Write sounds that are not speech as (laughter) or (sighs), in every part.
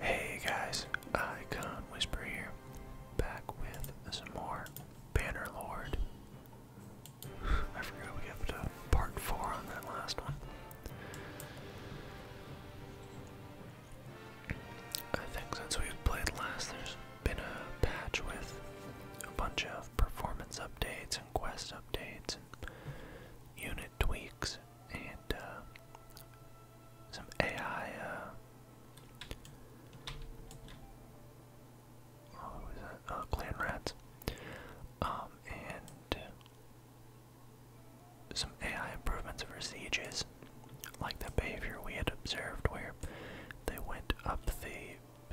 Hey guys, Icon Whisper here, back with some more Bannerlord. (sighs) I forgot we got to part four on that last one. I think since we've played last, there's been a patch with a bunch of performance updates and quest updates unit tweaks and uh, some AI. Uh, oh, was oh, clan rats. Um, and some AI improvements for sieges, like the behavior we had observed where they went up the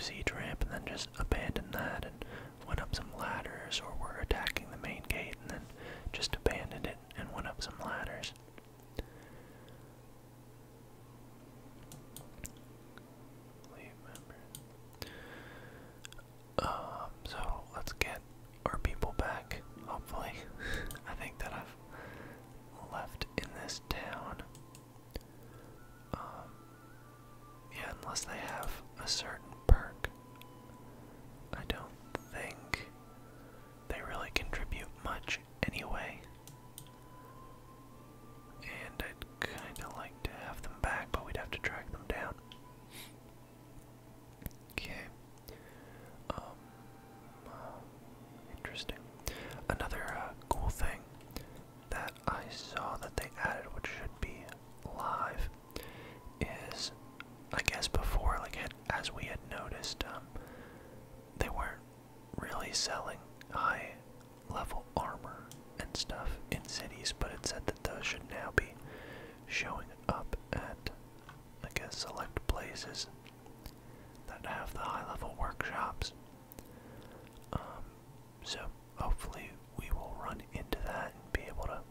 siege ramp and then just abandoned that went up some ladders or were attacking the main gate and then just abandoned it and went up some ladders. Um, so let's get our people back, hopefully. (laughs) I think that I've left in this town. Um, yeah, unless they have a certain perk. I don't think they really contribute much anyway. And I'd kinda like to have them back, but we'd have to track them down. Okay. Um. Uh, interesting. Another uh, cool thing that I saw that they added, which should be live, is I guess before like had, as we had noticed um they weren't really selling high level armor and stuff in cities but it said that those should now be showing up at I guess select places that have the high level workshops um so hopefully we will run into that and be able to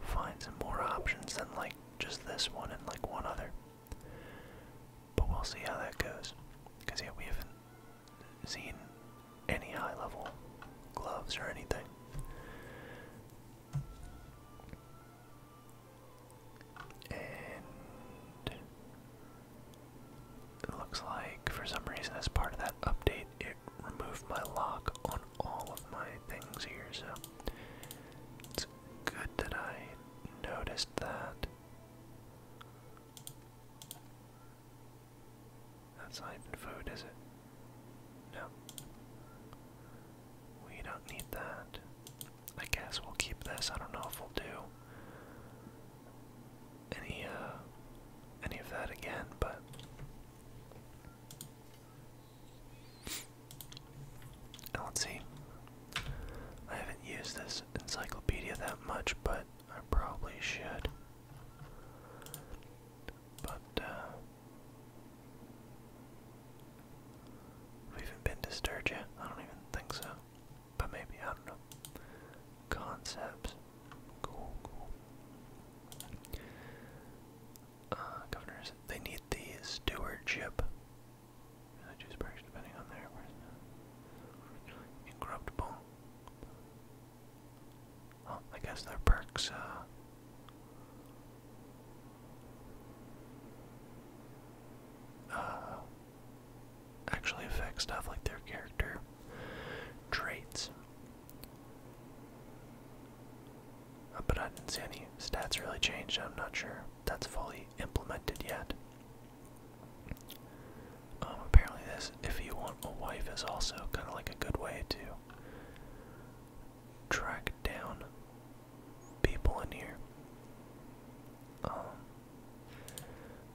Find some more options than like just this one and like one other. But we'll see how that goes. Because yeah, we haven't seen any high level gloves or anything. And it looks like for some reason as part of that update, remove my lock on all of my things here, so it's good that I noticed that. That's not even food, is it? No. We don't need that. I guess we'll keep this. I don't know if we'll do any uh, any of that again, but let's see. I haven't used this encyclopedia that much, but I probably should. But, Have uh, even been to Sturgia? I don't even think so. But maybe, I don't know. Concepts. Cool, cool. Uh, governors. They need the stewardship. Religious parish, depending on their Incorruptible. I guess their perks, uh, uh, actually affect stuff like their character traits uh, but I didn't see any stats really change. I'm not sure that's fully implemented yet. Um, apparently, this, if you want a wife, is also kind of like a good way to track down people in here. Um,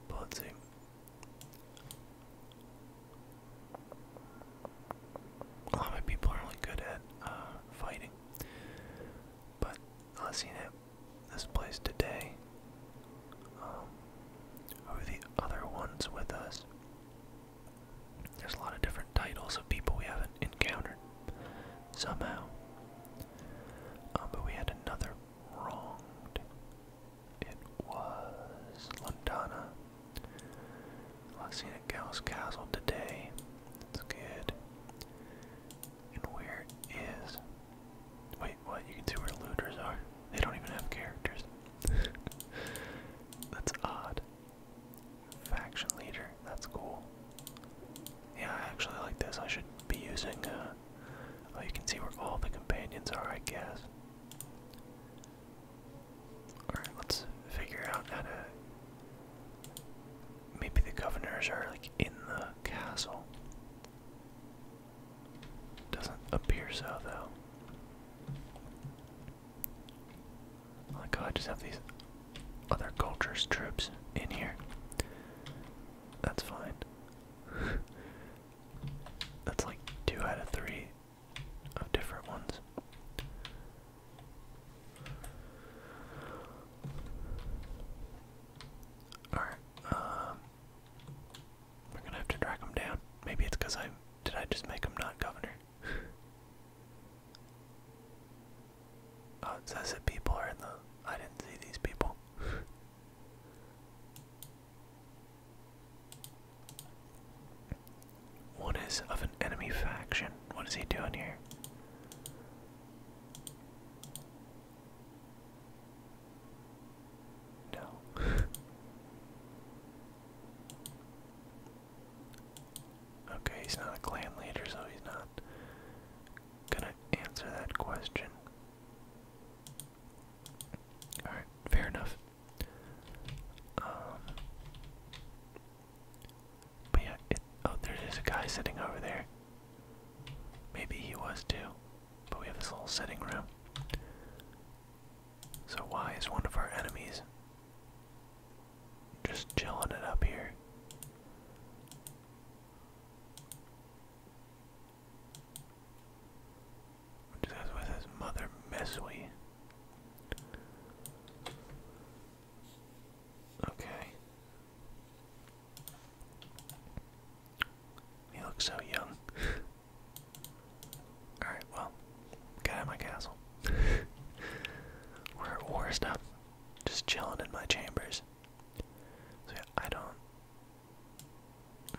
but let's see. A lot of people are really good at uh, fighting, but I seen it this place today. who um, the other ones with us? There's a lot of different titles of people we haven't encountered somehow. Um, but we had another wronged. It was Londana i us see the Gauss Castle today. That's good. And where is. Wait, what? You can see where looters are? They don't even have characters. (laughs) That's odd. Faction leader. That's cool. Yeah, I actually like this. I should be using. Uh, oh, you can see where all the companions are, I guess. Alright, let's figure out how to. Maybe the governors are like in the castle. Doesn't appear so, though. Oh my god, I just have these other cultures troops in here. That's fine. (laughs) That's like two out of three of different ones. Alright, um, we're gonna have to track him down. Maybe it's because I did I just make them not governor? (laughs) oh, people are in the. I didn't see these people. One is of an enemy faction. What is he doing here? No. (laughs) okay, he's not a clan leader, so he's not gonna answer that question. Alright, fair enough. Um, but yeah, oh, there is a guy sitting over there. Maybe he was too, but we have this little sitting room. So why is one of our enemies just chilling it up here? Just with his mother, Messwee. Okay. He looks so young. (sighs) Alright, well, get out my castle. (laughs) We're at war stuff. Just chilling in my chambers. So yeah, I don't.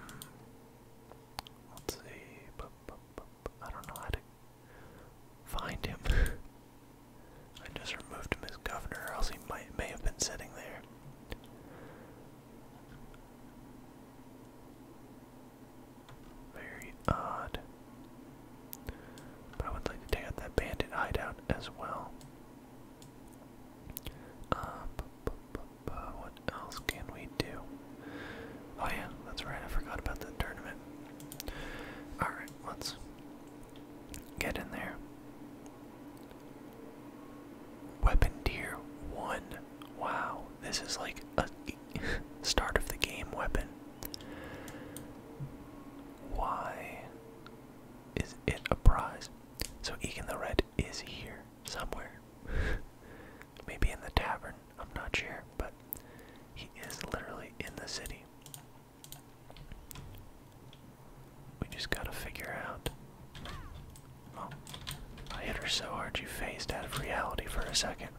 Hmm. let's see. I don't know how to find him. I just removed him as governor, or else he might may have been sitting there. Very odd. But I would like to take out that bandit hideout as well. Uh, what else can we do? Oh yeah, that's right. I forgot about the tournament. All right let's get in there. Weapon tier 1. Wow, this is like a (laughs) start of the game weapon. Why is it a prize? So Egan the Red is here somewhere. (laughs) Maybe in the tavern, I'm not sure, but he is literally in the city. We just gotta figure out. I hit her so hard you phased out of reality for a second.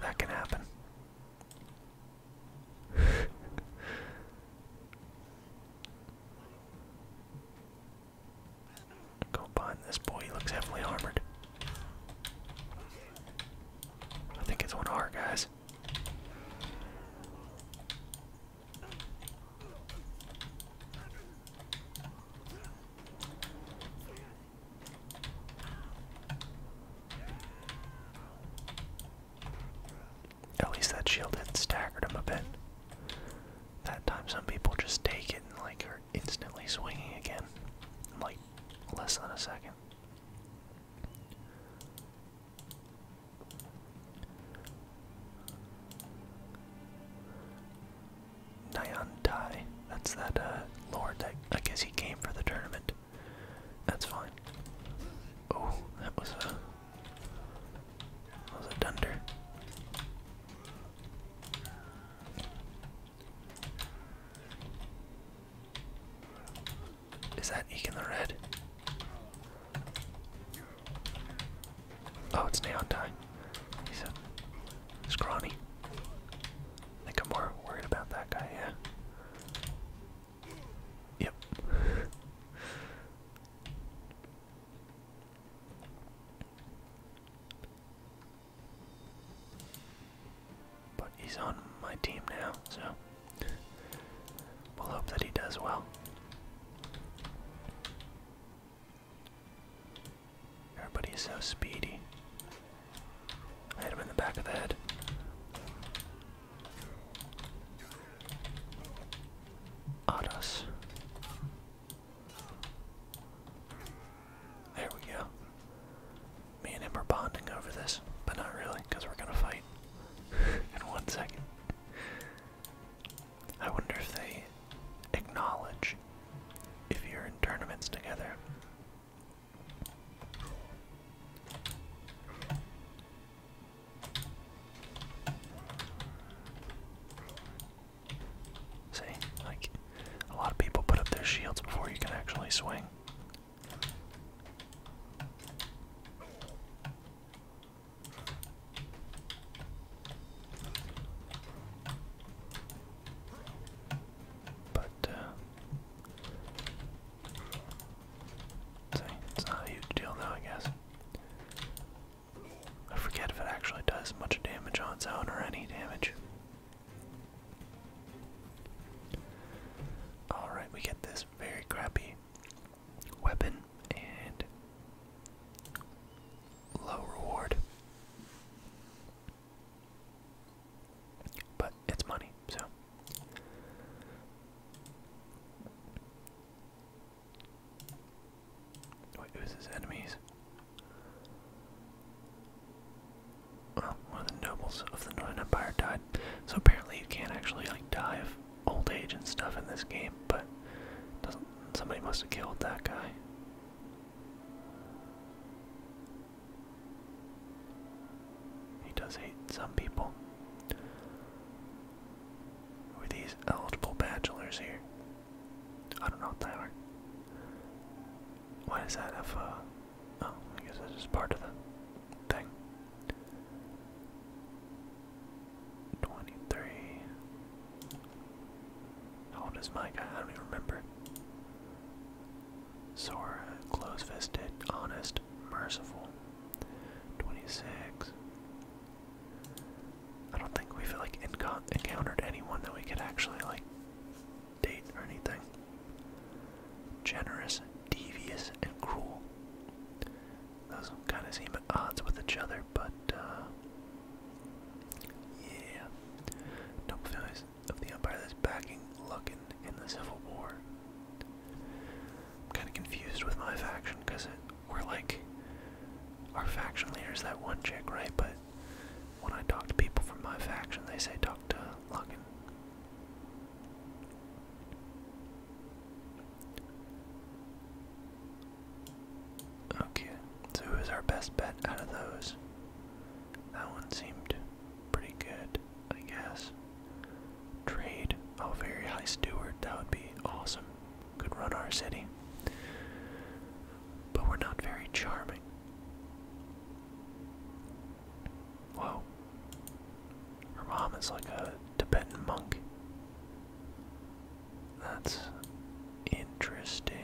That can happen. (laughs) Go behind this boy, he looks heavily armored. I think it's one of our guys. At least that shield had staggered him a bit. That time some people just take it and like are instantly swinging again like less than a second. Nyantai. That's that uh, lord that I guess he came for the tournament. That's fine. Oh, was a was a dunder. Is that Eek in the red? Oh, it's Neon Tie. He's a scrawny. I think I'm more worried about that guy, yeah. Yep. But he's on my team now, so we'll hope that he does well. Everybody's so speedy. hit him in the back of the head. Odd There we go. Me and him are bonding over this, but not really, because we're gonna fight (laughs) in one second. I wonder if they acknowledge if you're in tournaments together. See, like, a lot of people put up their shields before you can actually swing. But, uh, it's not a huge deal though, I guess. I forget if it actually does much damage on its own or any damage. Alright, we get this very crappy weapon and low reward. But it's money, so. Wait, who's his enemies? Well, one of nobles of the Northern Empire died. So apparently you can't actually like die of old age and stuff in this game, but doesn't somebody must have killed that guy. He does hate some people. Who are these eligible bachelors here? I don't know what they are. Why does that have uh, a Oh, I guess that's just part of the thing. 23. How old is my guy? I don't even remember. Sora, close fisted, honest, merciful. 26. I don't think we've like encountered anyone that we could actually like date or anything. Generous, devious, and cruel. Those kind of seem at odds with each other, but, uh. Yeah. Noble families of the Empire that's backing Lucan in the Civil War. I'm kind of confused with my faction because we're like. Our faction leader's that one chick, right? But when I talk to people from my faction, they say talk to Lucan. Okay, so who is our best bet out of those? That one seemed pretty good, I guess. Trade. a oh, very high steward. That would be awesome. Could run our city. But we're not very charming. Whoa. Her mom is like a Tibetan monk. That's interesting.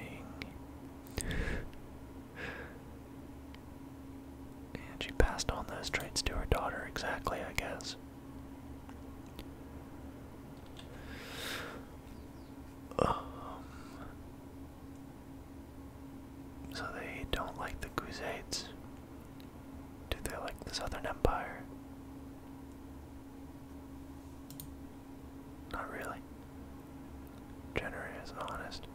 and she passed on those traits to her daughter, exactly, I guess. Um, so they don't like the Crusades. Do they like the Southern Empire? Not really. Jenner is honest.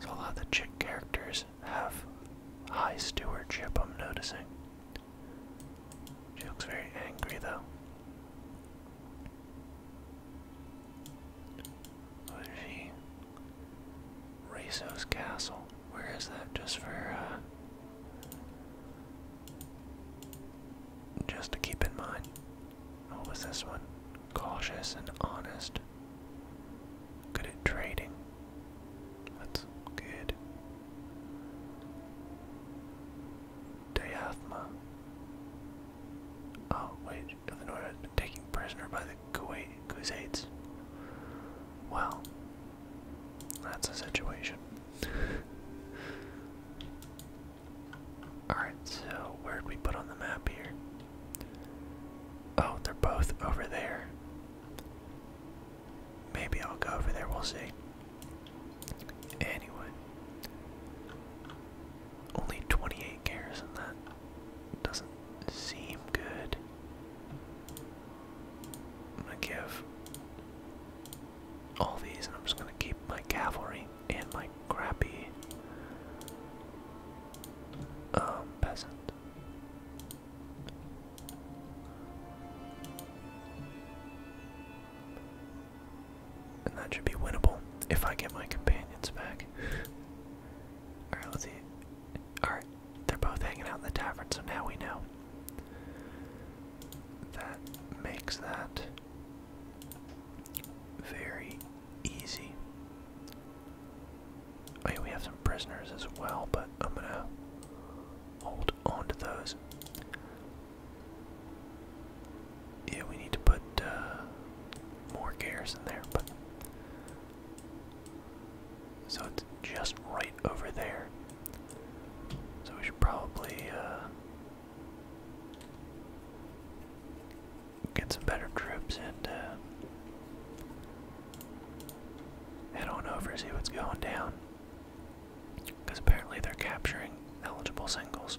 So a lot of the chick characters have high stewardship, I'm noticing. She looks very angry though. What is she? Rezo's Castle. Where is that? Just for, uh. Just to keep in mind. What was this one? Cautious and honest. Good at trading. That's good. Diathma. Oh, wait. Illinois has been taken prisoner by the Kuwait Kuzaites. Well, that's a situation. (laughs) Alright, so where'd we put on the map here? Oh, they're both over there. Maybe I'll go over there, we'll see. Anyway. Only 28 cares in that. Doesn't seem good. I'm gonna give all these, and I'm just gonna keep my cavalry and my crappy um, peasant. And that should be winnable if I get my companions back. (laughs) Alright, let's see. Alright, they're both hanging out in the tavern, so now we know. That makes that very easy. Oh, we have some prisoners as well, but I'm gonna hold on those. Yeah, we need to put uh, more gears in there, but so it's just right over there. So we should probably uh, get some better troops and uh, head on over, see what's going down. Because apparently they're capturing eligible singles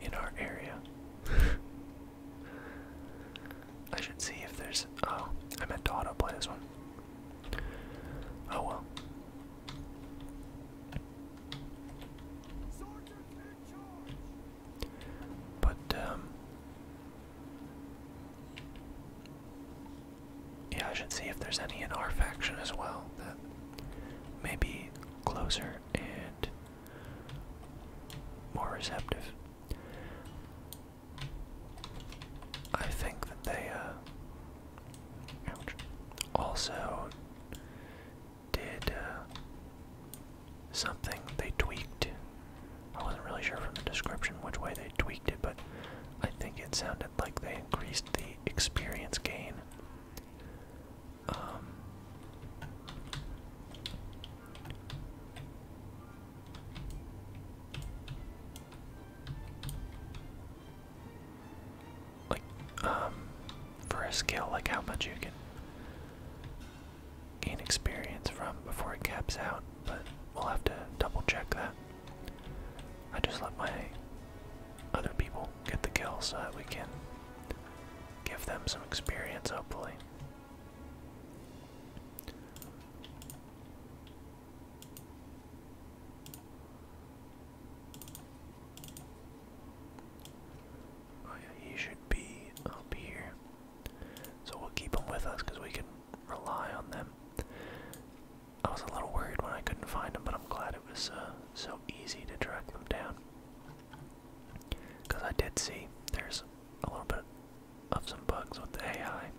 in our area. (laughs) I should see if there's. Oh, I meant to autoplay this one. Oh well. But, um, Yeah, I should see if there's any in our faction as well that may be closer and more receptive. I think that they uh, also did uh, something they tweaked. I wasn't really sure from the description which way they tweaked it, but I think it sounded like they increased the experience gain. Um, like, um, for a skill, like how much you can gain experience from before it caps out, but we'll have to double check that. I just let my other people get the kill so that we can give them some experience, hopefully. Oh, he should be up here. So we'll keep him with us because we can rely on them. I was a little worried when I couldn't find him, but I'm glad it was uh, so easy to track them down. Because I did see there's a little bit of some bugs with the AI,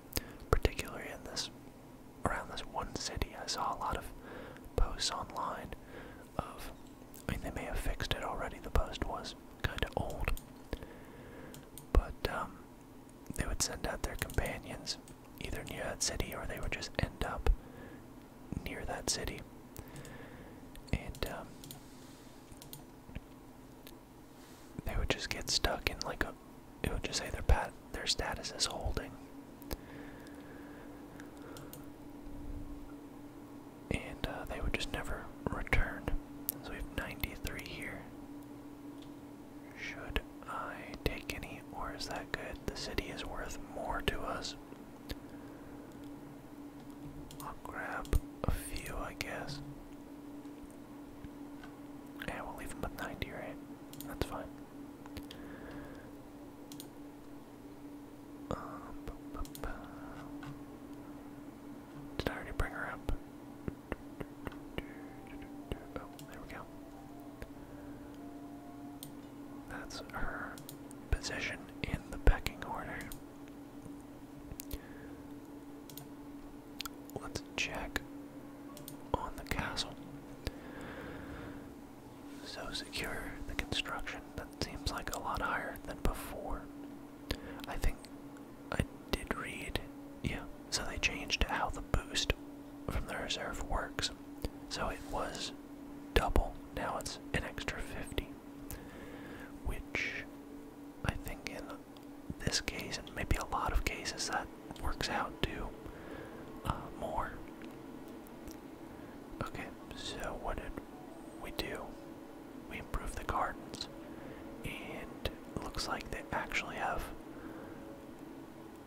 particularly in this around this one city. I saw a lot of posts online of I mean they may have fixed it already. The post was kinda old. But um, they would send out their companions either near that city or they would just end up near that city. And um, they would just get stuck in like a it would just say their pat their status is holding. And uh, they would just never return. So we have 93 here. Should I take any, or is that good? The city is worth more to us. I'll grab a few, I guess. Yeah, we'll leave him with 90, That's fine. Um, Did I already bring her up? Oh, there we go. That's her position in the pecking order let's check on the castle. So secure, the construction that seems like a lot higher than before. I think I did read, yeah, so they changed how the boost from the reserve works. So it was double, now it's an extra 50, which I think in this case, and maybe a lot of cases, that works out to uh, more. Okay, so what did we do? We improved the gardens, and looks like they actually have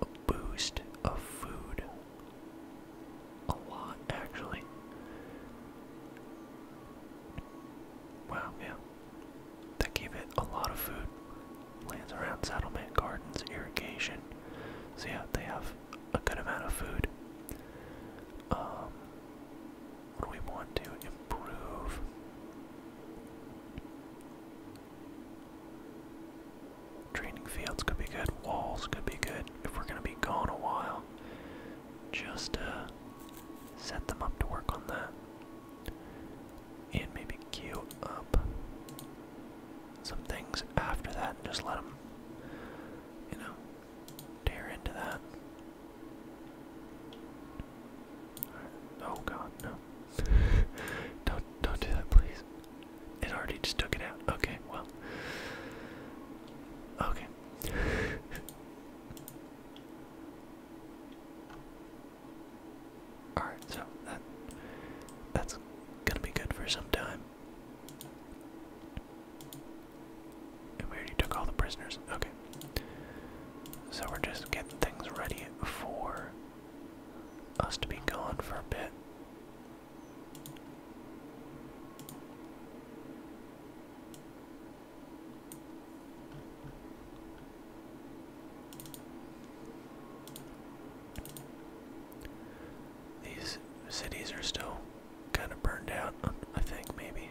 a boost of food. A lot, actually. Wow, yeah that give it a lot of food. Lands around settlement, gardens, irrigation. So yeah, they have a good amount of food. Um, what do we want to improve? Training fields could be good. Walls could be good if we're gonna be gone a while. Just uh, set them up to work on that and maybe queue up some things after that and just let them, you know, tear into that. Oh god, no. (laughs) don't, don't do that, please. It already just took it out. Okay, well. Okay. (laughs) Alright, so that's gonna be good for some time. we already took all the prisoners. Okay. So we're just getting things ready for us to be gone for a bit. These cities are still kind of burned out, I think, maybe.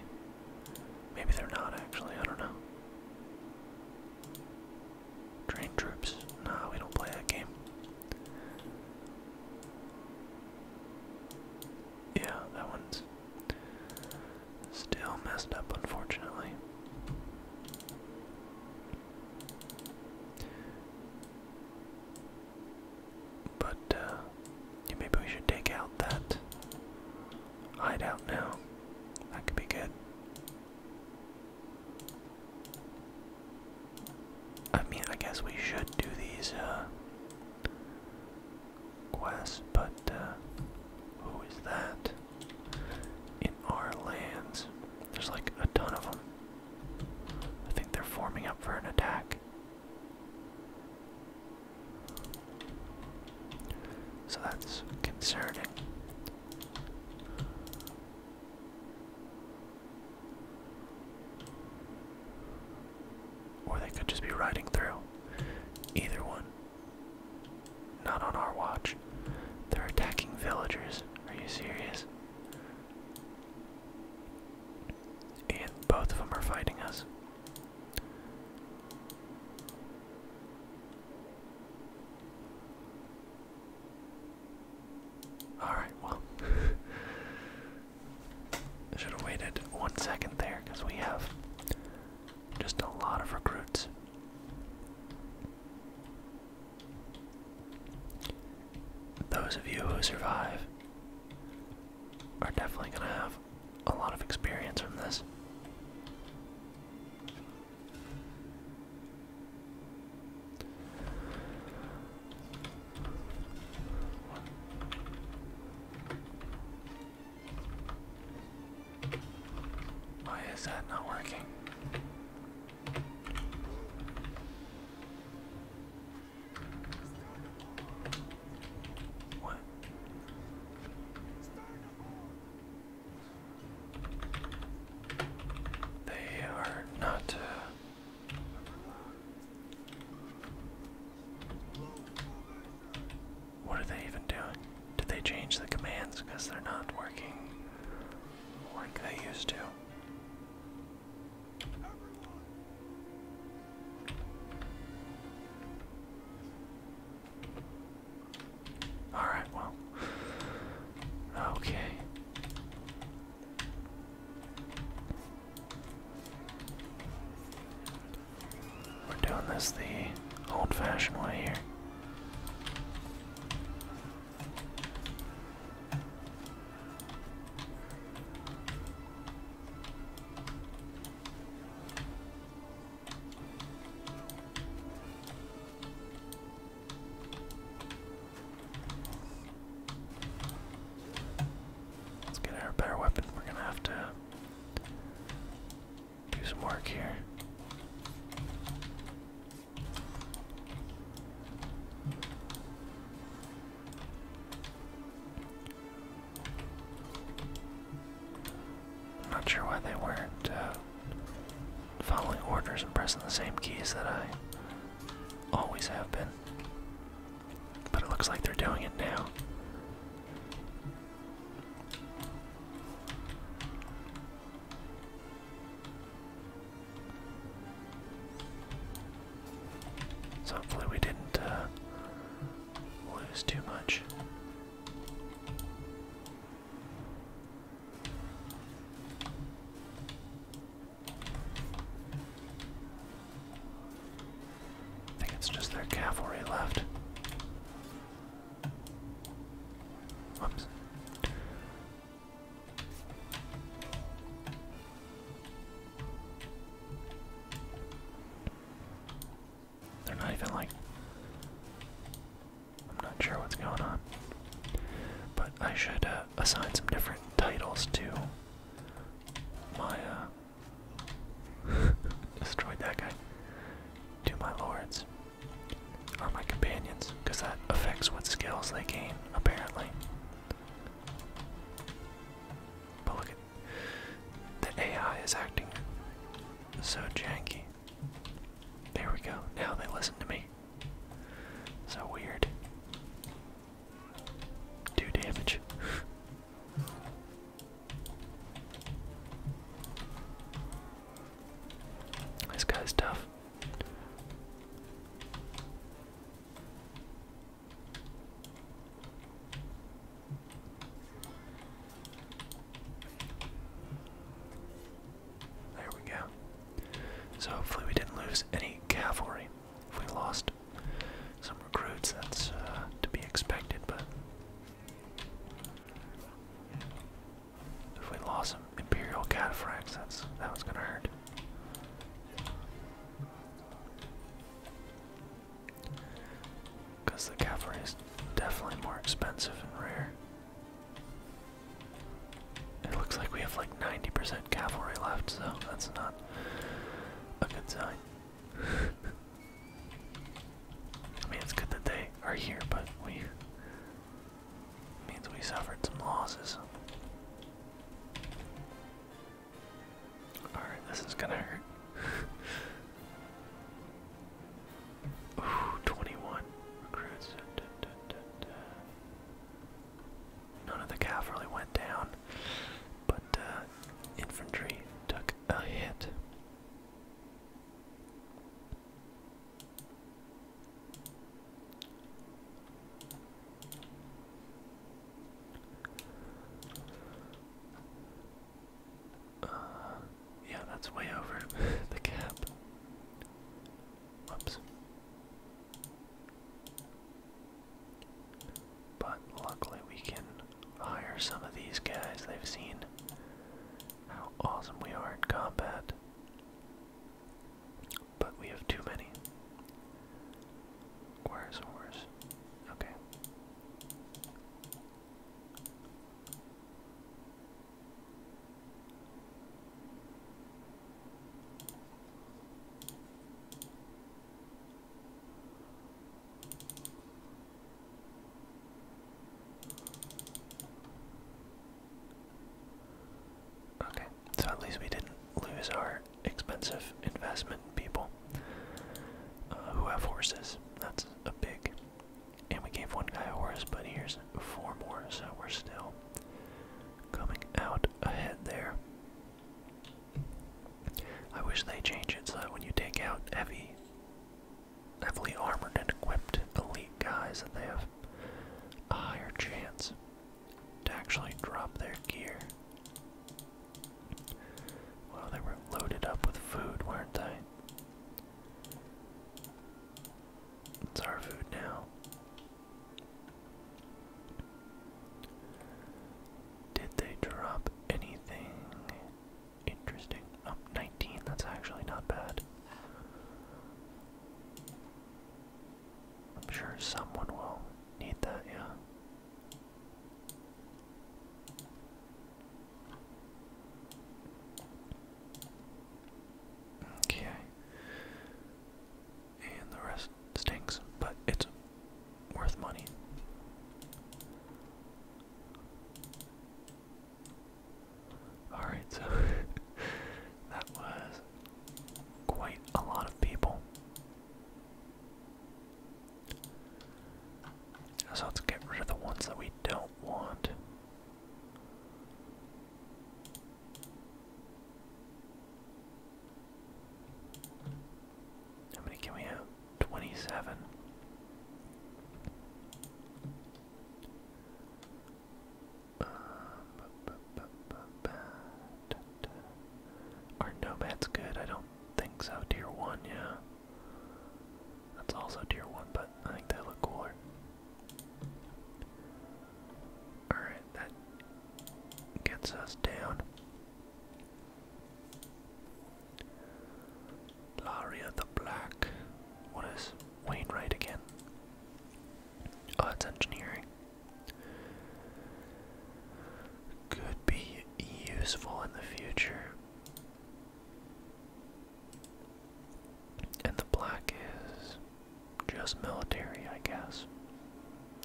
Maybe they're not actually, I don't know. Train troops. Nah, we don't play that game. Yeah, that one's still messed up, unfortunately. But uh, yeah, maybe we should take out that hideout now. That could be good. I mean, I guess we should do these uh, quests, but uh, who is that? in our lands. There's like a ton of them. I think they're forming up for an attack. So that's concerning. Or they could just be riding through. Either one. Not on our watch. They're attacking villagers. Are you serious? And both of them are fighting us. Alright, well. (laughs) should have waited one second there because we have just a lot of recruits. Those of you who survive are definitely going to have a lot of experience from this. Why is that not working? What? They are not. Uh, what are they even doing? Did they change the commands because they're not working? were they used to? Alright, well. Okay. We're doing this the old fashioned way here. Let's get our better weapon. We're gonna have to do some work here. I'm Not sure why they weren't uh, following orders and pressing the same keys that I always have been. But it looks like they're doing it now. So hopefully we didn't uh, lose too much. I think it's just their cavalry left. Whoops. They're not even like. I'm not sure what's going on. But I should uh, assign some different titles to my. Uh, (laughs) destroyed that guy. To my lords are my companions, because that affects what skills they gain, apparently. But look at the AI is acting so janky. There we go. Now they listen to me. So weird. Do damage. this guy's tough. There we go. So hopefully we didn't lose any cavalry. If we lost some recruits, that's uh, to be expected, but if we lost some Imperial Cataphracts, that's that was gonna hurt. Because the cavalry is definitely more expensive and rare. It looks like we have like 90% cavalry left, so that's not a good sign. (laughs) I mean, it's good that they are here, but we Means we suffered some losses. Alright, this is gonna hurt. (laughs) Ooh, 21 recruits. None of the calf really went down, but uh, infantry took a hit. Uh, yeah, that's way over (laughs) the cap. Whoops. But luckily, we can hire some of these guys. They've seen how awesome we are in combat. But we have too many. Where's horse? Okay. Okay so at least we didn't lose our expensive investment people uh, who have horses. That's a big. And we gave one guy a horse, but here's four more, so we're still coming out ahead there. I wish they change it so that when you take out heavy, heavily armored and equipped elite guys, that they have a higher chance to actually drop their gear. Well, they were loaded up with food, weren't they? It's our food now. Did they drop anything interesting? Oh, 19, that's actually not bad. I'm sure someone will need that, yeah. Okay. And the rest stinks, but it's worth money. Alright, so (laughs) that was quite a lot of people. So let's get rid of the ones that we don't want. How many can we have? 27. Uh, are nomads good? I don't think so. Tier 1, yeah. That's also dear 1, but I think they look cooler. Alright, that gets us down. Laria the Black. What is Wainwright again? Oh, it's engineering could be useful in the future. And the black is just military, I guess.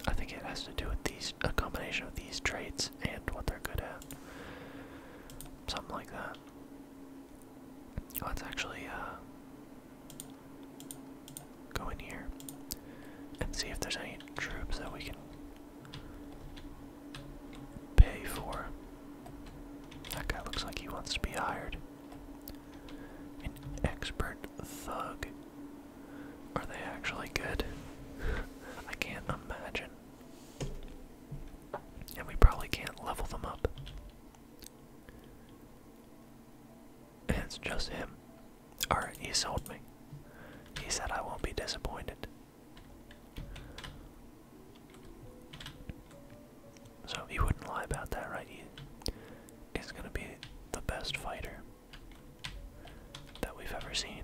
I think it has to do with these a combination of these traits and what they're good at. Something like that. Oh, it's actually uh go in here and see if there's any troops that we can pay for. That guy looks like he wants to be hired. An expert thug. Are they actually good? (laughs) I can't imagine. And we probably can't level them up. And it's just him. Alright, he sold me. He said I won't be disappointed. So he wouldn't lie about that, right? He is going to be the best fighter that we've ever seen.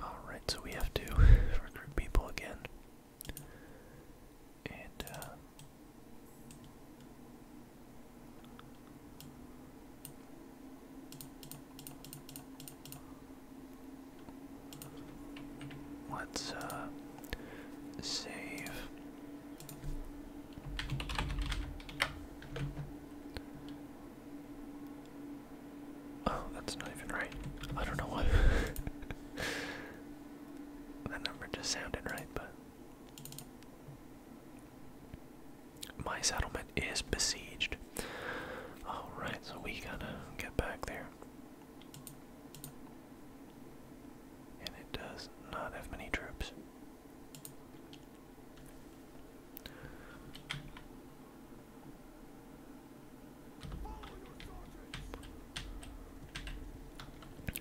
Alright, so we have to (laughs) recruit people again. And, uh, Let's, uh, Save. Oh, that's not even right. I don't know why. (laughs) that number just sounded right, but. My settlement is besieged. Alright, so we gotta get back there. And it does not have many troops.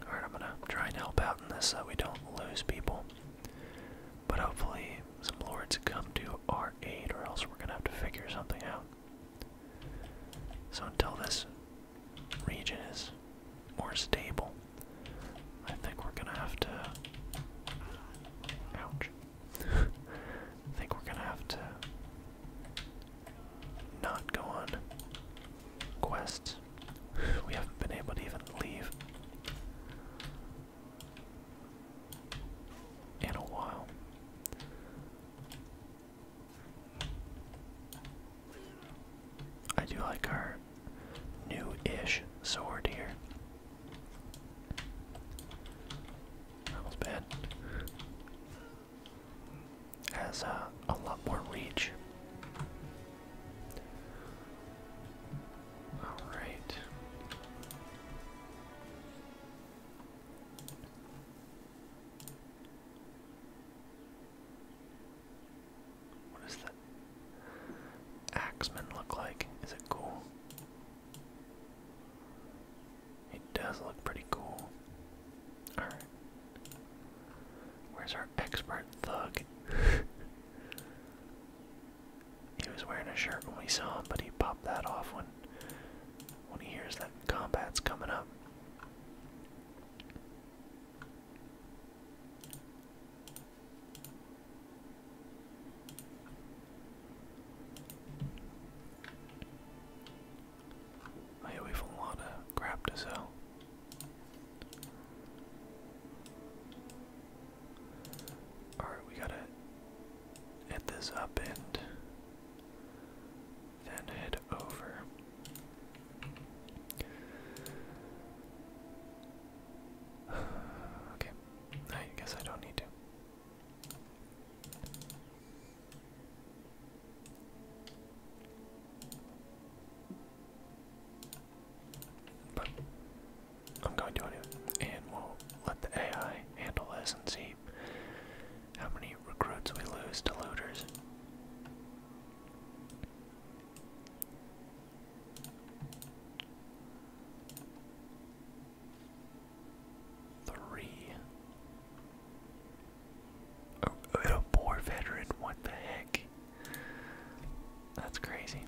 Alright, I'm gonna try and help out in this so we don't lose people. But hopefully, some lords come to our aid, or else we're gonna have to figure something out. So, until this region is more stable, I think we're gonna have to. Ouch. I think we're gonna have to not go on quests. We haven't been able to even leave in a while. I do like our new ish sword here. That was bad. Has uh, a lot more reach. Alright. What does the Axeman look like? Is it cool? It does look pretty cool. Alright. Where's our expert thug? (laughs) he was wearing a shirt when we saw him, but he popped that off when when he hears that combat's coming up. Oh have a lot of crap to sell. Alright, we gotta hit this up and then head over. (sighs) okay, I guess I don't need to. I'm going to do it, and we'll let the AI handle this and see how many recruits we lose to looters. Three. a poor veteran, what the heck? That's crazy.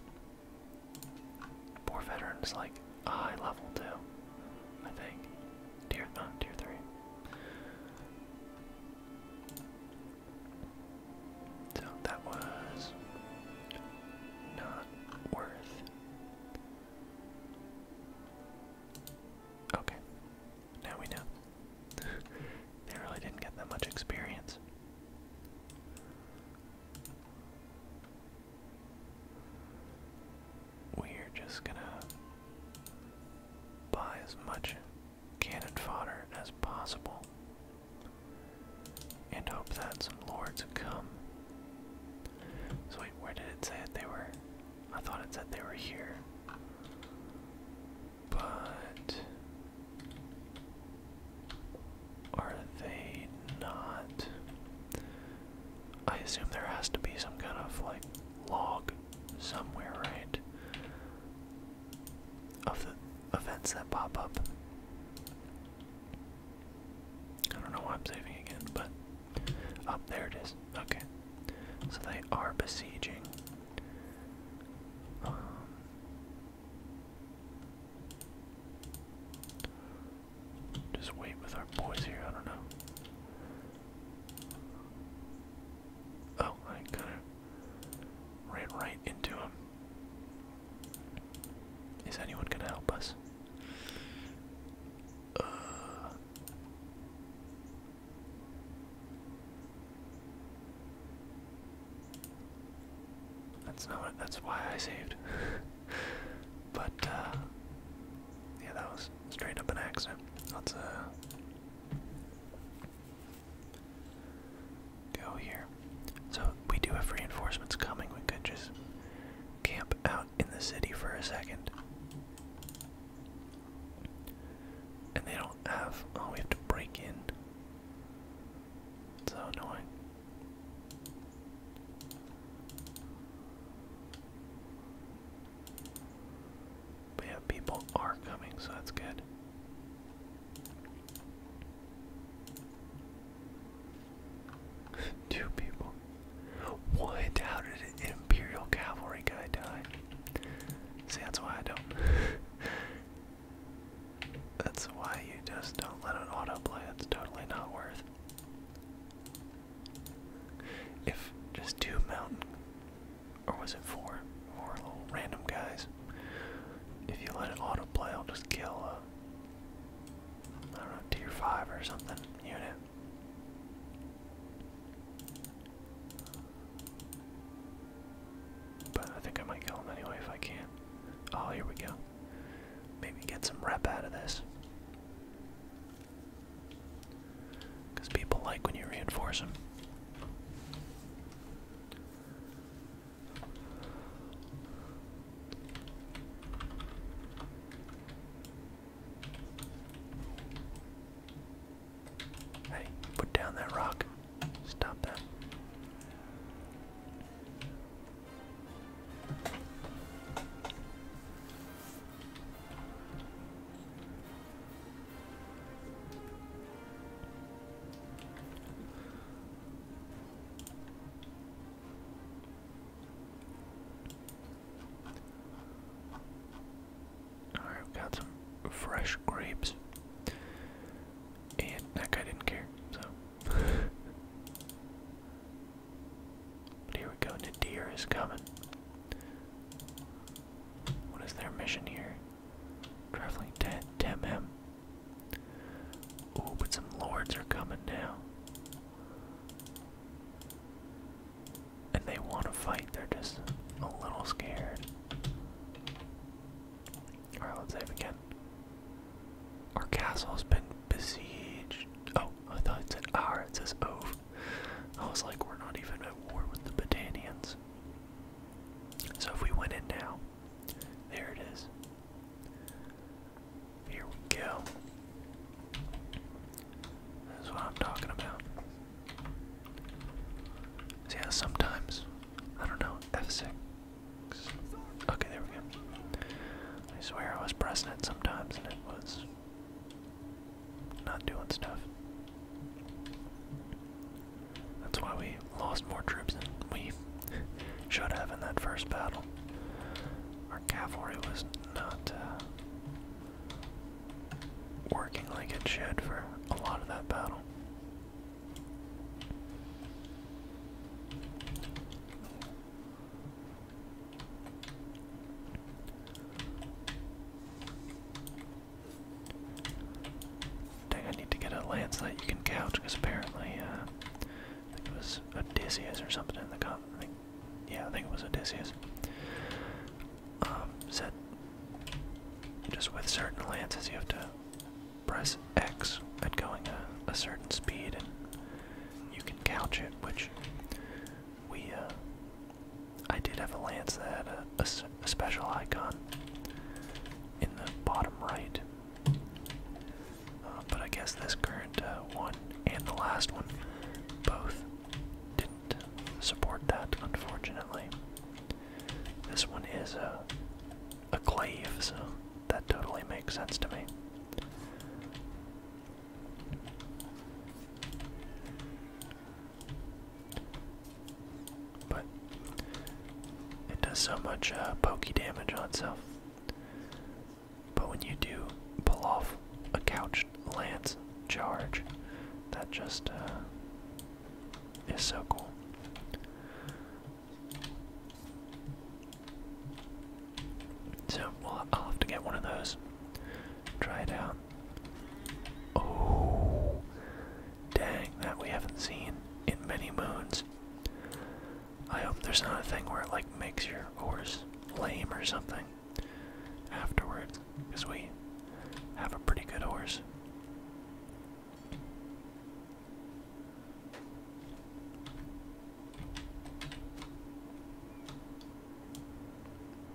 Poor veteran is like a high level too, I think. Tier, no, uh, tier three. So that was not worth Okay, now we know. (laughs) they really didn't get that much experience. We're just gonna buy as much cannon fodder as possible and hope that some lords come. wait, where did it say they were I thought it said they were here. But are they not? I assume there has to be some kind of like log somewhere, right? Of the events that pop up. I don't know why I'm saving again, but up oh, there it is. Okay. So they are besieging. Um, just wait with our boys here. I don't know. Oh, I kind of ran right into him. Is anyone gonna help us? Uh, that's not what, that's why I saved. (laughs) but, uh, yeah, that was straight up an accident. Let's, uh, go here. So, we do have reinforcements coming. We could just camp out in the city for a second. And they don't have. Oh, we have to break in. So annoying. But yeah, people are coming, so that's good. (laughs) Two people. Why How did an Imperial Cavalry guy die? See, that's why I don't. (laughs) that's why you just don't let it autoplay. It's totally not worth. If just two mountain, or was it four, four random guys? If you let it autoplay, I'll just kill a, I don't know, tier five or something unit. But I think I might kill him anyway if I can. Oh, here we go. Maybe get some rep out of this. Because people like when you reinforce them. Hey, put down that rock. Stop that. Alright, we got some fresh grapes. And that guy didn't care, so. (laughs) but here we go, Nadir is coming. What is their mission here? Traveling to Temhem. Oh, but some lords are coming now and they want to fight, they're just a little scared. Alright, let's save again. Our castle's been besieged. Oh, I thought it said our, ah, it says ove. I was like, we're not even at war with the Batanians. So if we went in now, there it is. Here we go. That's what I'm talking about. See sometimes, I don't know, F6. Okay, there we go. I swear I was pressing it sometimes and it was not doing stuff. That's why we lost more troops than we (laughs) should have in that first battle. Our cavalry was not uh, working like it should for a lot of that battle. Dang, I need to get a lance that you can couch because apparently, uh, I think it was Odysseus or something in the com. I think, yeah, I think it was Odysseus. Um, set just with certain lances you have to press X at going a, certain speed and you can couch it, which we, uh, I did have a lance that had a, a special icon in the bottom right. Uh, but I guess this current uh, one and the last one both didn't support that, unfortunately. This one is a, a glaive, so that totally makes sense to me. But it does so much uh, pokey damage on itself. But when you do pull off a couch lance charge, that just uh, is so cool. So I'll have to get one of those. Try it out. Oh, dang! That we haven't seen in many moons. I hope there's not a thing where it like makes your horse lame or something afterwards, because we have a pretty good horse.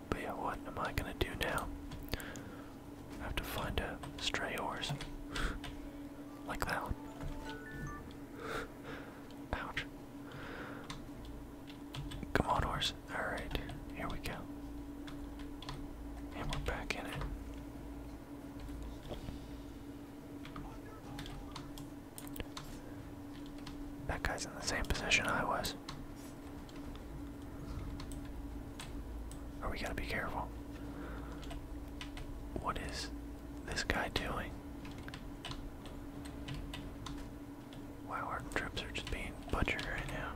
But yeah, what am I gonna do now? have to find a stray horse. (sighs) like that one. (sighs) Ouch. Come on, horse. Alright, here we go. And we're back in it. That guy's in the same position I was. Are oh, we gotta be careful? What is this guy doing? Wow, our troops are just being butchered right now.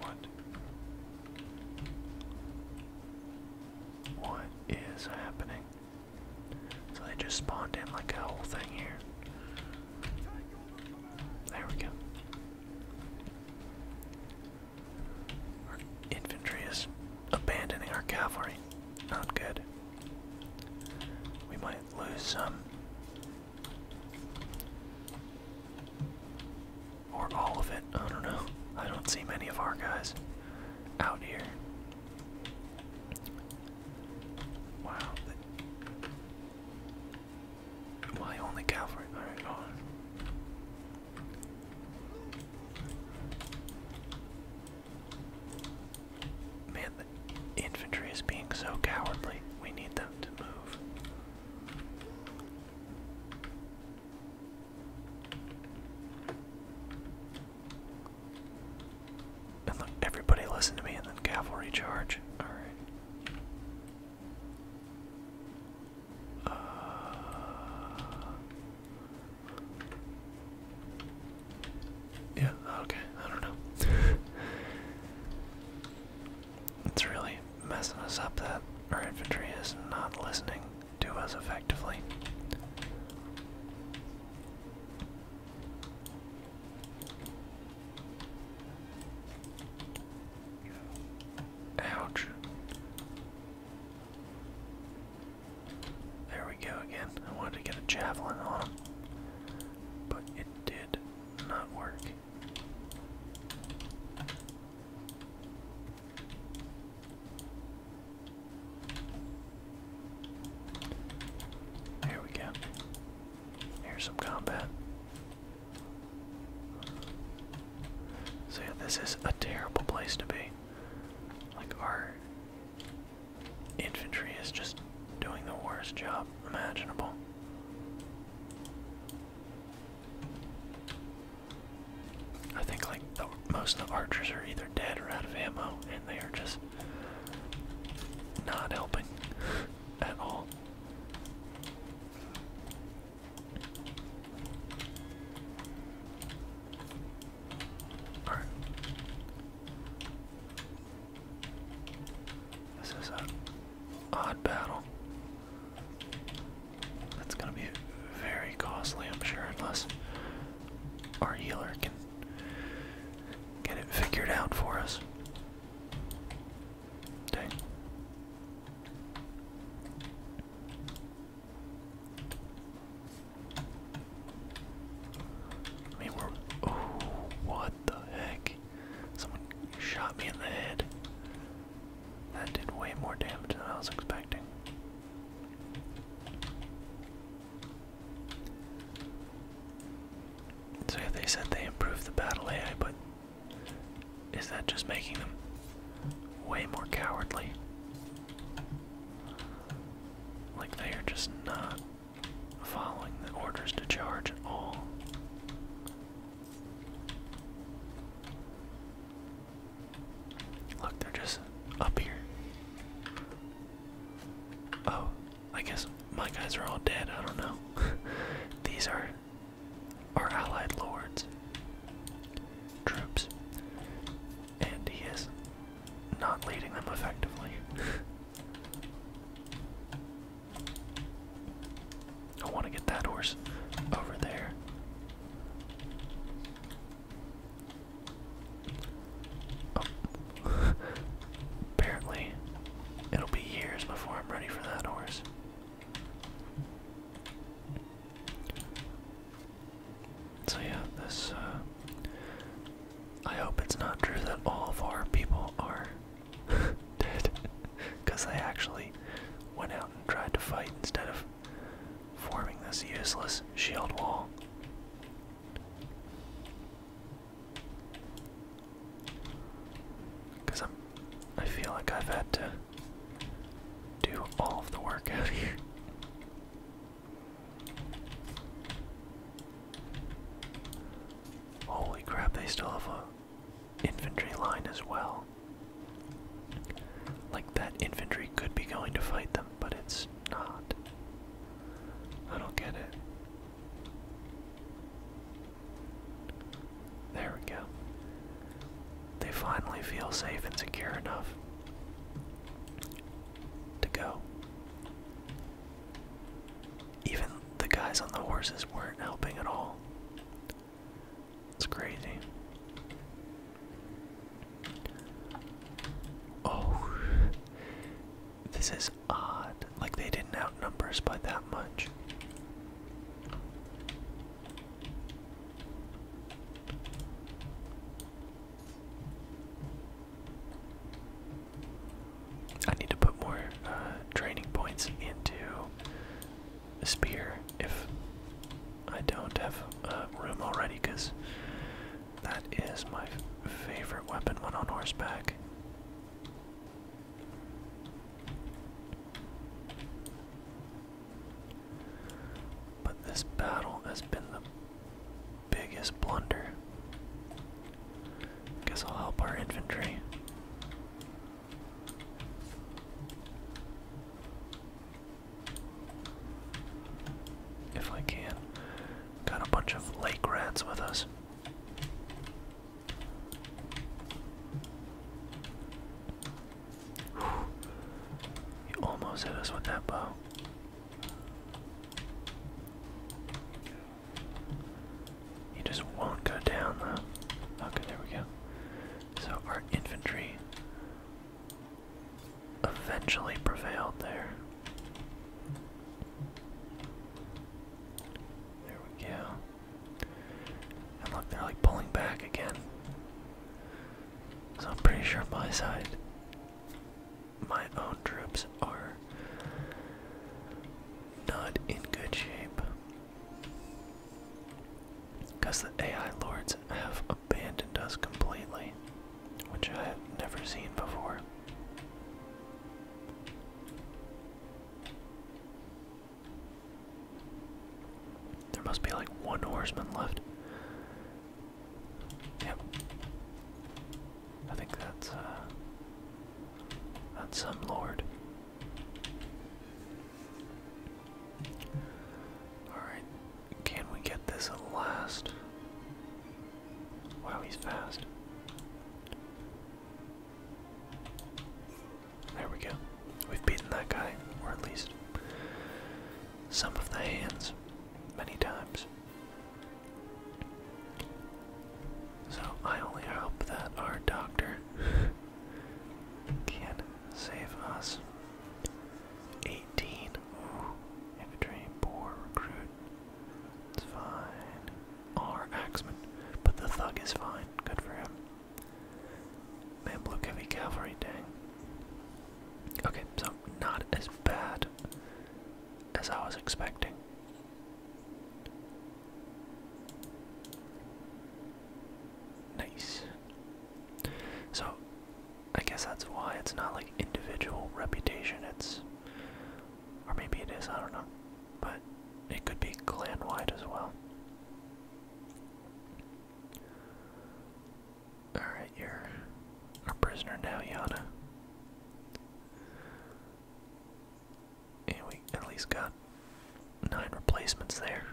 What? What is happening? So they just spawned in like a whole thing here. There we go. Our infantry is abandoning our cavalry. Not good. We might lose some. Or all of it. I don't know. I don't see many of our guys out here. Wow. My only cavalry. Alright, on. Man, the infantry is being so cowardly. We need them to move. And look, everybody listen to me and then cavalry charge. Alright. Uh, yeah, okay, I don't know. (laughs) it's really messing us up that our infantry is not listening to us effectively. Ouch. There we go again. I wanted to get a javelin on him, but it did not work. Here we go. Here's some combat. So yeah, this is a terrible place to be. Like our Infantry is just doing the worst job imaginable. I think like most of the archers are either dead or out of ammo, and they are just not helping (laughs) at all. Alright. This is an odd battle. That's gonna be very costly, I'm sure, unless our healer can get it figured out for us. Dang. I mean, oh, what the heck? Someone shot me in the head. That did way more damage than I was expecting. So yeah, they said they improved the battle AI, but is that just making them way more cowardly? Like they are just not following the orders to charge at all. Look, they're just up here. Oh, I guess my guys are all dead. I don't know. (laughs) These are our allied lords. Troops and he is not leading them effectively. (laughs) I want to get that horse over there. Oh. (laughs) Apparently, it'll be years before I'm ready for that horse. So yeah, this uh, I hope it's not true that all of our people are (laughs) dead. Because they actually went out and tried to fight instead of forming this useless shield wall. I'm. I feel like I've had to do all of the work here. Holy crap, they still have a infantry line as well. Like that infantry could be going to fight them, but it's not. I don't get it. There we go. They finally feel safe and secure enough to go. Even the guys on the horses weren't helping at all. It's crazy. Oh, this is odd. Like they didn't outnumber us by that much. I need to put more uh, training points into a spear if I don't have uh, room already, because that is my favorite weapon when on horseback. But this battle has been the biggest blunder. Guess I'll help our infantry. If I can. Got a bunch of lake rats with us. You almost hit us with that bow. He just won't go down though. Okay, there we go. So our infantry eventually prevailed there. There we go. And look, they're like pulling back again. So I'm pretty sure my side my own troops are not in good shape. Because the AI lords have abandoned us completely, which I have never seen before. There must be like one horseman left. Yep. I think that's, uh, that's some lord. Alright, can we get this at last? Wow, he's fast. There we go. We've beaten that guy, or at least some of the hands, many times. So I only hope that our doctor can save us. 18. Ooh, infantry, poor recruit. It's fine. Our axeman. But the thug is fine. Good for him. Man, Mamluk heavy cavalry, dang. Okay, so not as bad as I was expecting. Nice. So, I guess that's why it's not like individual reputation, it's. Or maybe it is, I don't know. But it could be clan wide as well. Alright, you're a prisoner now, Yana. And we at least got nine replacements there.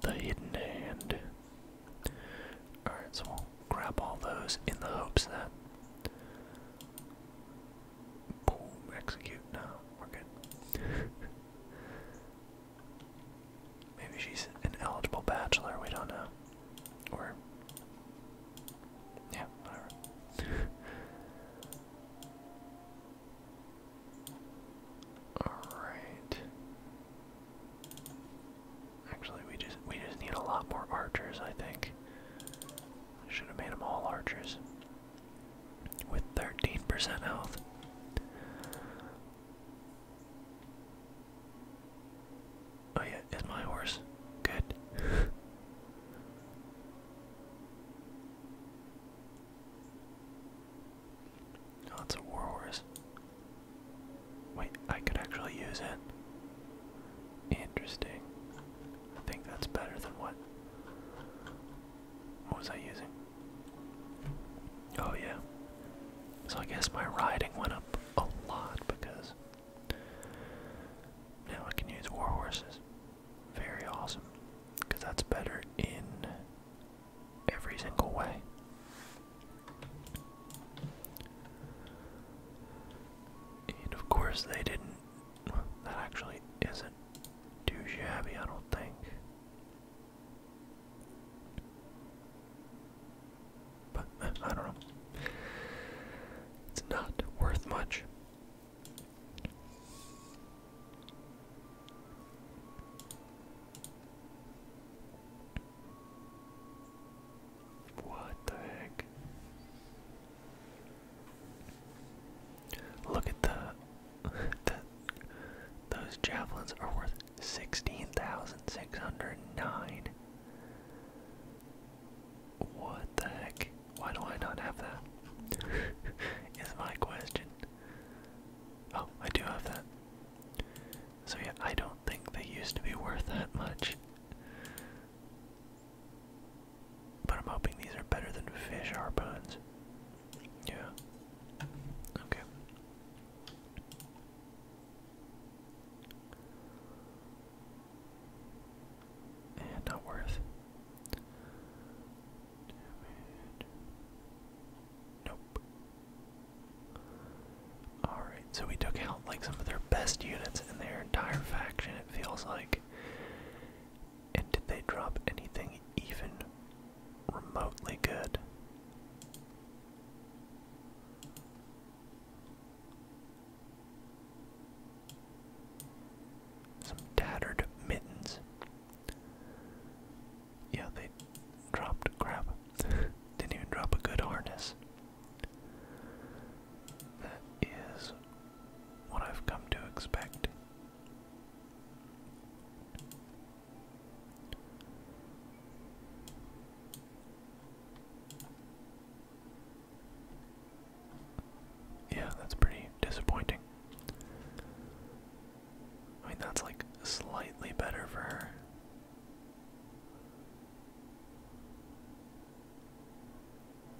The hidden hand. Alright, so we'll grab all those in the hopes that. Boom, execute. No, we're good. (laughs) Maybe she's an eligible bachelor, we don't know. Or yeah, whatever. (laughs) Alright. Actually we just we just need a lot more archers, I think. should have made them all archers. With 13% health. Oh yeah, it's my horse. Good. (laughs) oh, a war horse. Wait, I could actually use it. Interesting. I think that's better than what? What was I using? Oh yeah. So I guess my riding went up a lot because now I can use war horses. Very awesome. Because that's better in every single way. And of course, they didn't. that actually isn't too shabby, I don't think. But uh, I don't know. It's not worth much. What the heck? Look at the, (laughs) the those javelins are worth sixteen thousand six hundred nine. What the heck? Why do I not have that? (laughs) Is my question. Oh, I do have that. So yeah, I don't think they used to be worth that much. But I'm hoping these are better than fish harpoons. Yeah. Okay. And not worth. Nope. Alright, so we took out like some of their best units in their entire faction, it feels like. And did they drop anything even remotely good? Some tattered mittens. Yeah, they dropped crap. (laughs) Didn't even drop a good harness. That is what I've come to expect. Yeah, that's pretty disappointing. I mean, that's like slightly better for her.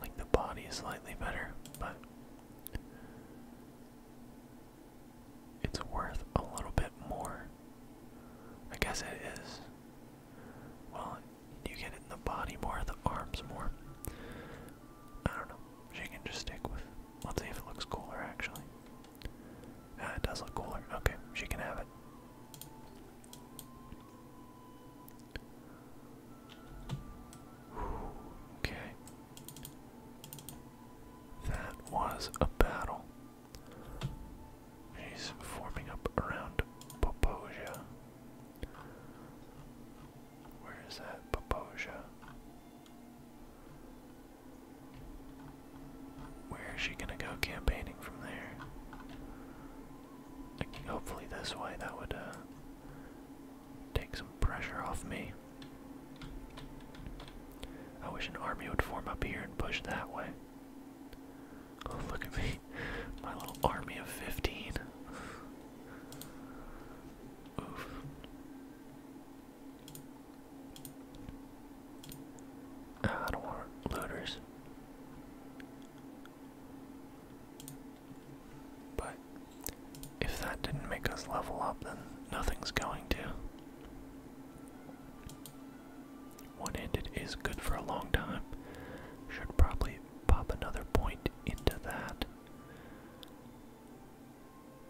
Like the body is slightly better, but it's worth a little bit more. I guess it is. Well, you get it in the body more, the arms more. I don't know. She can just stick with. Let's see if it looks cooler, actually. Ah, it does look cooler. Okay, she can have it. Okay. That was a battle. She's forming up around Poposia. Where is that Poposia? Where is she gonna go campaigning from there? hopefully this way that would uh, take some pressure off me. I wish an army would form up here and push that way. Oh, look at me. My little army of 15. Oof. Uh, I looters. But if that didn't make us level up, then nothing's going to. One-handed is good for a long time. Should probably pop another point into that.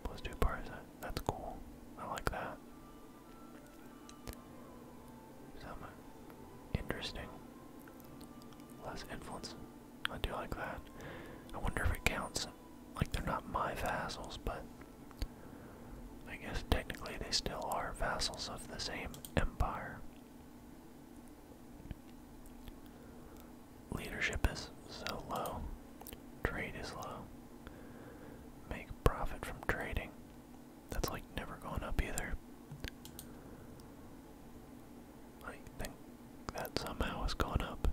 Plus two parsa. That's cool. I like that. Some interesting. Less influence. I do like that. I wonder if it counts. Like they're not my vassals, but I guess technically they still are vassals of the same empire. Leadership is so low. Trade is low. Make profit from trading. That's like never going up either. I think that somehow has gone up.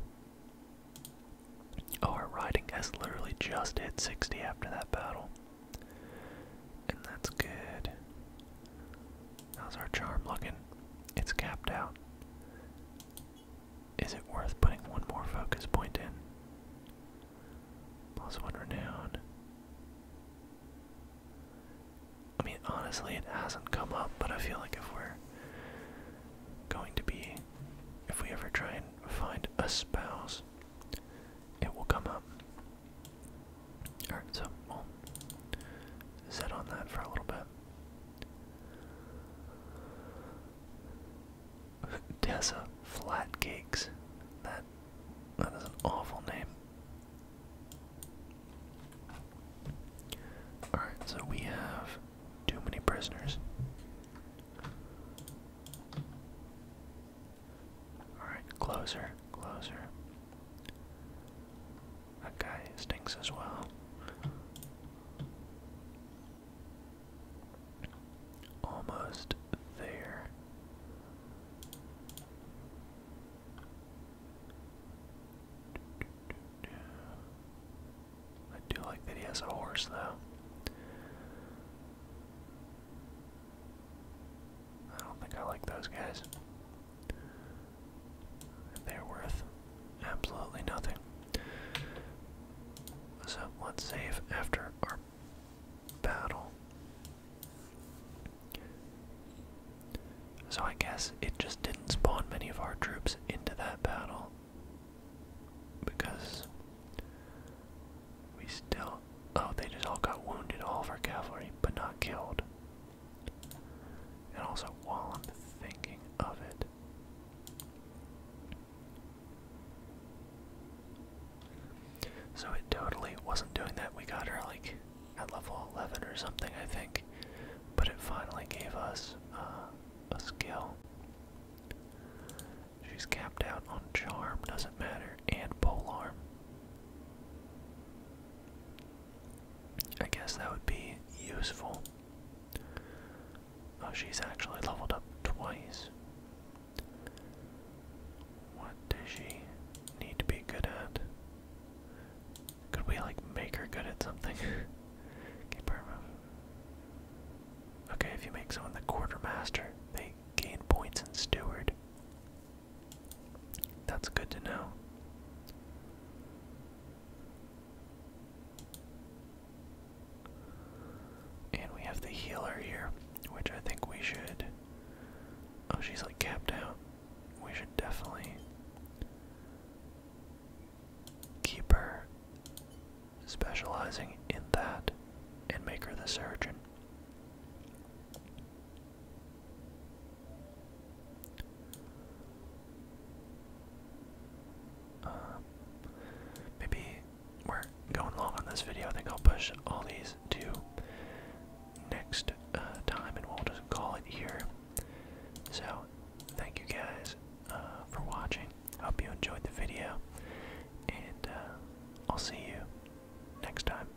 Oh, our riding has literally just hit 60 after that battle. And that's good. How's our charm looking? It's capped out. Is it worth putting one more focus point in? Plus Also one now. I mean, honestly, it hasn't come up, but I feel like if we're going to be, if we ever try and find a spouse, it will come up. Alright, so we'll sit on that for a little bit. (laughs) Tessa Flat Cakes. That that is an awful name. Alright, so we have too many prisoners. Alright, closer, closer. That guy stinks as well. Almost there. I do like that he has a horse, though. I don't think I like those guys. They're worth absolutely nothing. So let's after our battle. So I guess it just didn't spawn many of our troops into that battle because we still. Oh, they just all got wounded, all of our cavalry, but not killed. And also, while I'm thinking of it, so it totally wasn't doing that. We got her like at level 11 or something, I think, but it finally gave us uh, a skill. She's capped out on charm, doesn't matter, and polearm. I guess that would be useful. Oh, she's actually leveled up twice. What does she need to be good at? Could we, like, make her good at something? (laughs) okay, Okay, if you make someone the quartermaster, they gain points in steward. That's good to know. And we have the healer here, which I think we should. Oh, she's like capped out. We should definitely keep her specializing in that and make her the surgeon. Uh, maybe we're going long on this video. I think I'll push all these to next uh, time, and we'll just call it here. So, thank you guys uh, for watching. Hope you enjoyed the video, and I'll see you next time.